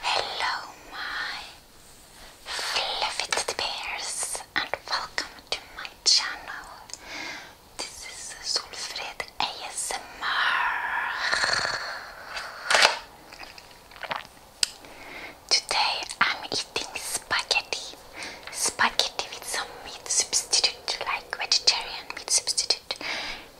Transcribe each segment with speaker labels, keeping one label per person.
Speaker 1: Hello, my fluffy bears, and welcome to my channel. This is Solfred ASMR. Today I'm eating spaghetti spaghetti with some meat substitute, like vegetarian meat substitute,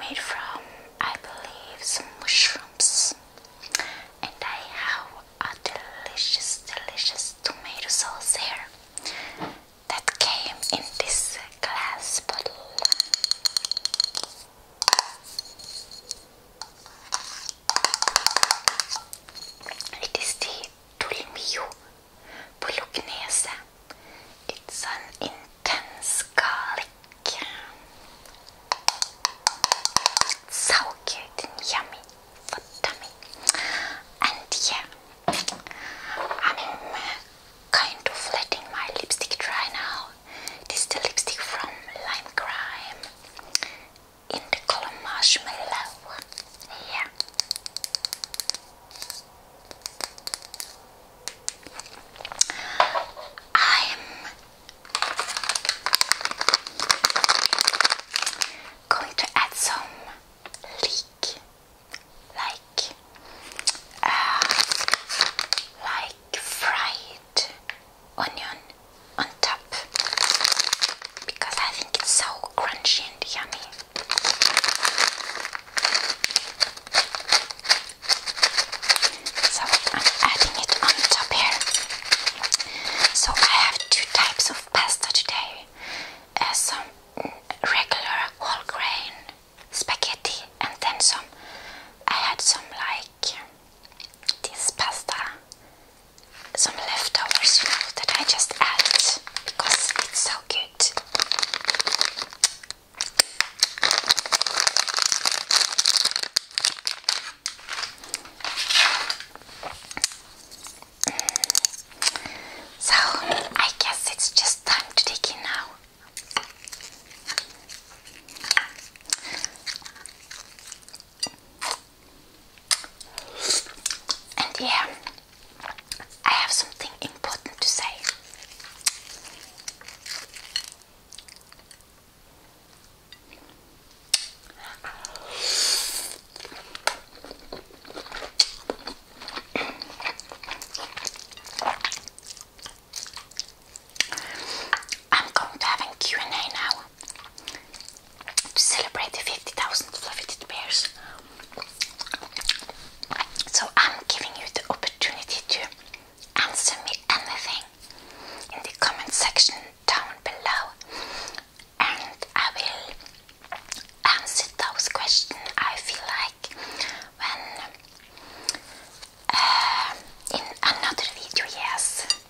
Speaker 1: made from, I believe, some mushrooms. And I have a delicious, delicious tomato sauce here that came in this glass bottle. It is the Tulmio Bolognese. It's an intense garlic. So cute and yummy for tummy. And yeah, I'm uh, kind of letting my lipstick dry now. This is the lipstick from Lime Crime in the color marshmallow. Yeah. I'm going to add some leek, like, uh, like fried onion on top because I think it's so crunchy and yummy. So I'm adding it on top here. So I have two types of pasta today. Uh, some regular whole grain spaghetti and then some I had some like this pasta some leftovers, you know, that I just added because it's so good. So, I guess it's just time to dig in now. And yeah, I have something important to say. I'm going to have a and a now to celebrate the 50,000 fluffy bears. So I'm giving you the opportunity to answer me anything in the comment section down below, and I will answer those questions. I feel like when uh, in another video, yes.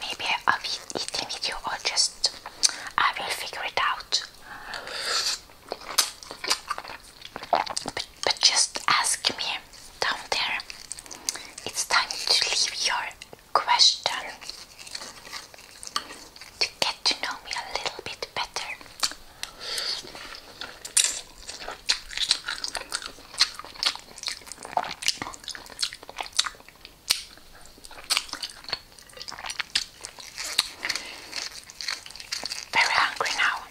Speaker 1: Maybe I'll be eating video or just I will figure it out. But, but just ask me down there. It's time to leave your question to get to know me a little bit better. Very hungry now.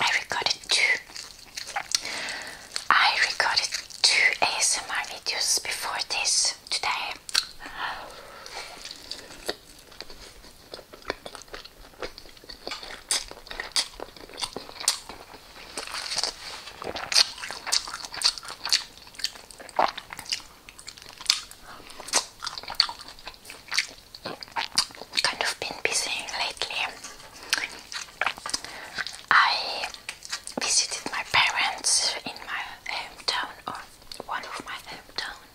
Speaker 1: I recorded two. I recorded two ASMR videos before this today. Kind of been busy lately. I visited my parents in my hometown, or one of my hometown.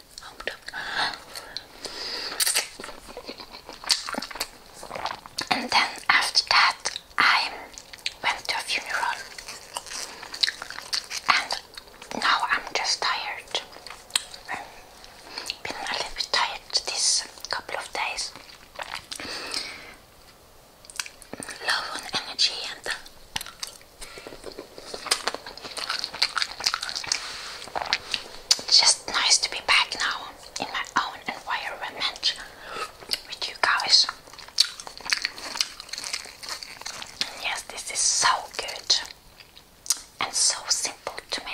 Speaker 1: And then after that, I went to a funeral and now I'm just tired. I've a little bit tired this couple of days. Low on energy and just nice to be back now in my own environment with you guys. yes, this is so good and so simple to make.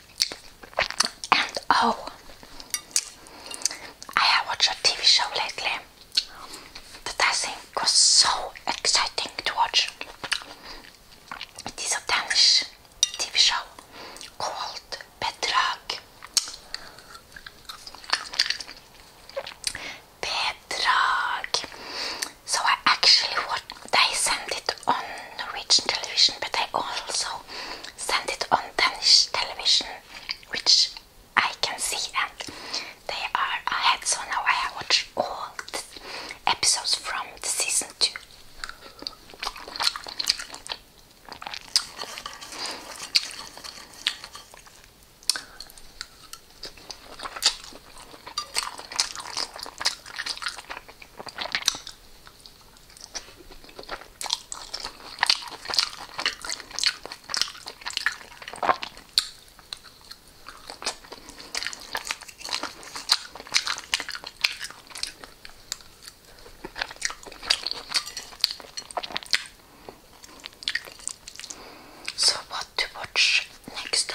Speaker 1: And oh, I have watched a TV show lately that I think was so exciting to watch. It is a Danish TV show called Bedrag. Bedrag. So I actually what they sent it on Norwegian television, but I also send it on Danish television, which I can see, and they are ahead. So now I watch all episodes from the season two. So, what to watch next?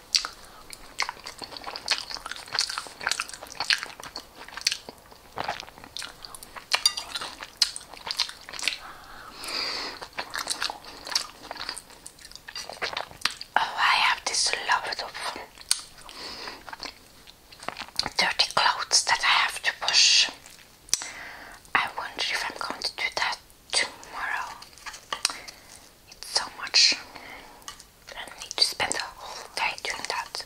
Speaker 1: Oh, I have this love of dirty clothes that I have to push. I wonder if I'm going to do that tomorrow. It's so much. I need to spend the whole day doing that.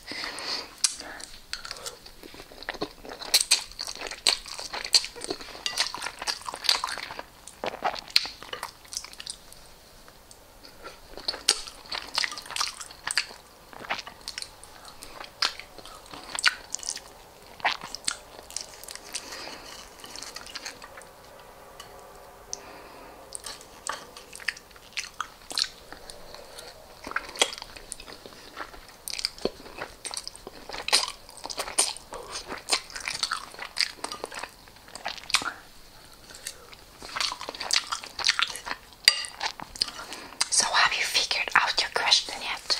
Speaker 1: So, have you figured out your question yet?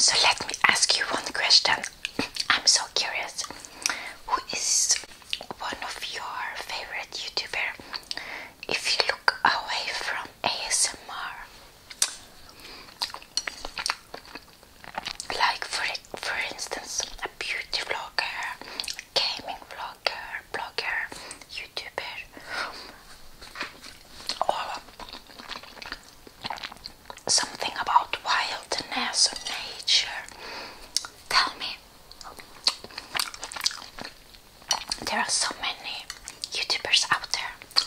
Speaker 1: So let me ask you one question. I'm so curious. Who is one of your favorite YouTuber? If you look away from ASMR like for for instance a beauty vlogger, gaming vlogger, blogger, YouTuber, or something about wilderness or nature. Tell me, there are so many YouTubers out there.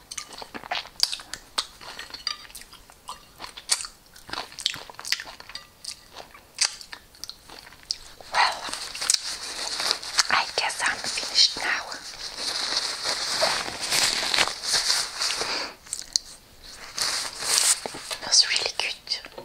Speaker 1: Well, I guess I'm finished now. was really good.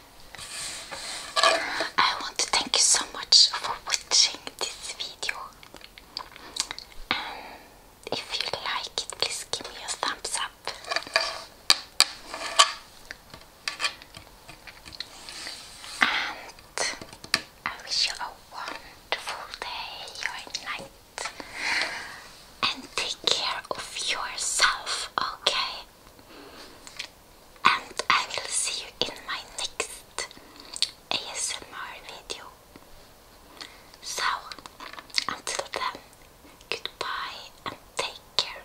Speaker 1: I want to thank you so much for watching this video. if you like it, please give me a thumbs up. And I wish you a wonderful day or night. And take care of yourself, okay? And I will see you in my next ASMR video. So, until then, goodbye and take care.